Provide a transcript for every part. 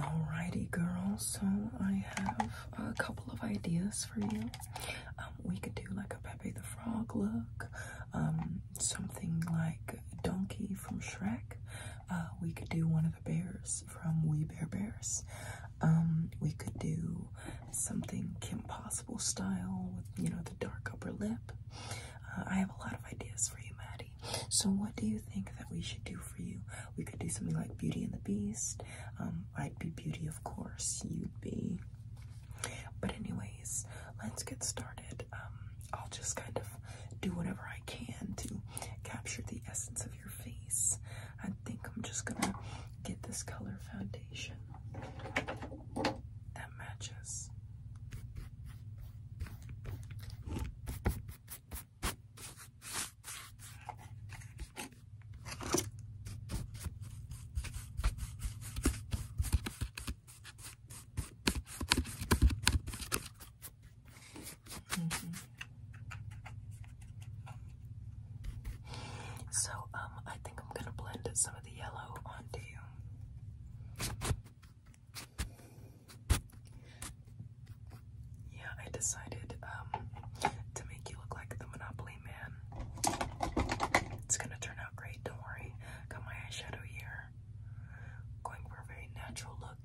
Alrighty, girls. So I have a couple of ideas for you. Um, we could do like a Pepe the Frog look, um, something like Donkey from Shrek. Uh, we could do one of the bears from We Bear Bears. Um, we could do something Kim Possible style with you know the dark upper lip. Uh, I have a lot of ideas for you, Maddie. So, what do you think that we should do for you? We could do something like Beauty and the Beast. Um, I'd be Beauty, of course. You'd be. But, anyways, let's get started. Um, I'll just kind of do whatever I can to capture the essence of your face. I think I'm just gonna get this color foundation that matches. So, um, I think I'm gonna blend some of the yellow onto you. Yeah, I decided um, to make you look like the Monopoly Man. It's gonna turn out great, don't worry. Got my eyeshadow here. Going for a very natural look.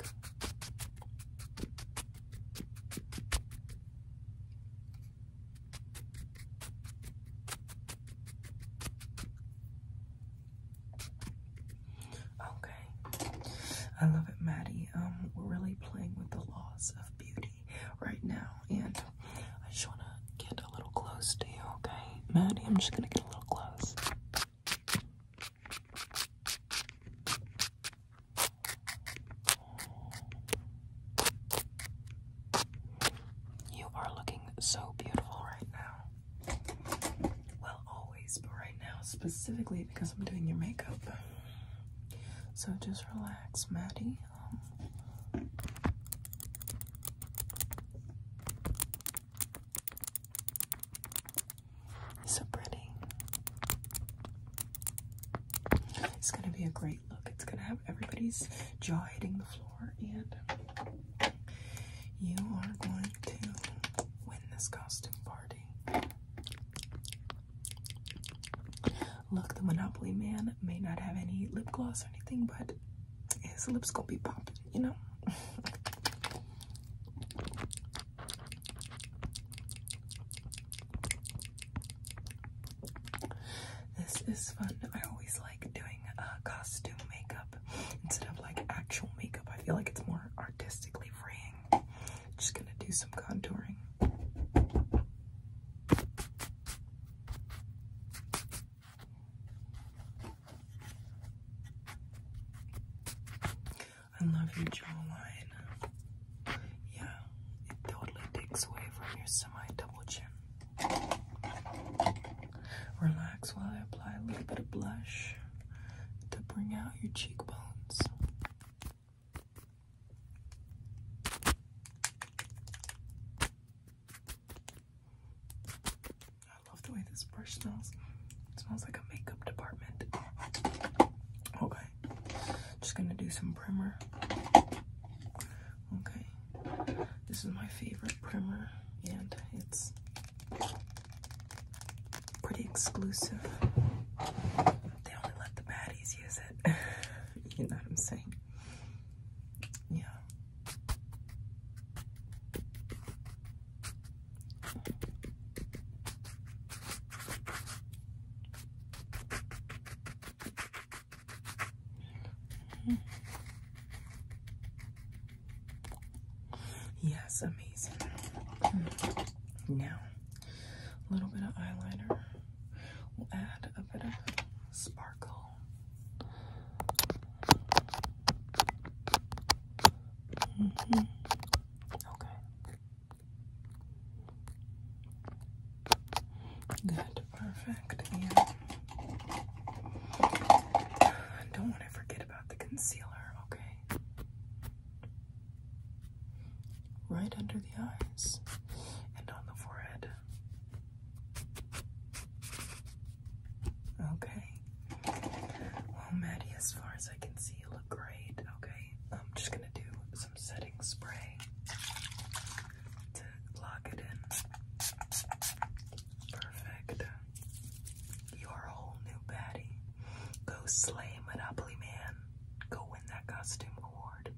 Okay. I love it, Maddie. Um, we're really playing with the laws of beauty right now, and I just want to get a little close to you, okay? Maddie, I'm just going to get a little close. You are looking so beautiful right now. Well, always, but right now specifically because I'm doing your makeup. So just relax, Maddie. so pretty. It's gonna be a great look. It's gonna have everybody's jaw hitting the floor, and you are going to win this costume party. Look, the Monopoly Man may not have any lip gloss or anything, but his lips gonna be popping, you know? This is fun. I always like doing uh, costume makeup instead of like actual makeup. I feel like it's more artistically freeing. Just gonna do some contouring. I love your jawline. Yeah, it totally takes away from your semi double chin. Relax while I apply a little bit of blush to bring out your cheekbones. I love the way this brush smells. It smells like a makeup department. Okay. Just gonna do some primer. Okay. This is my favorite primer and it's pretty exclusive. They only let the baddies use it. you know what I'm saying? Yeah, Yes, amazing. Now, a little bit of eyeliner. will add a bit of sparkle. Mm-hmm. Okay. Good, perfect. Yeah. don't want to forget about the concealer, okay? Right under the eyes and on the forehead. Okay. Well, Maddie, as far as I can see, you look great. Okay. I'm just going to do some setting spray to lock it in. Perfect. You're a whole new baddie. Go slay Monopoly Man. Go win that costume award.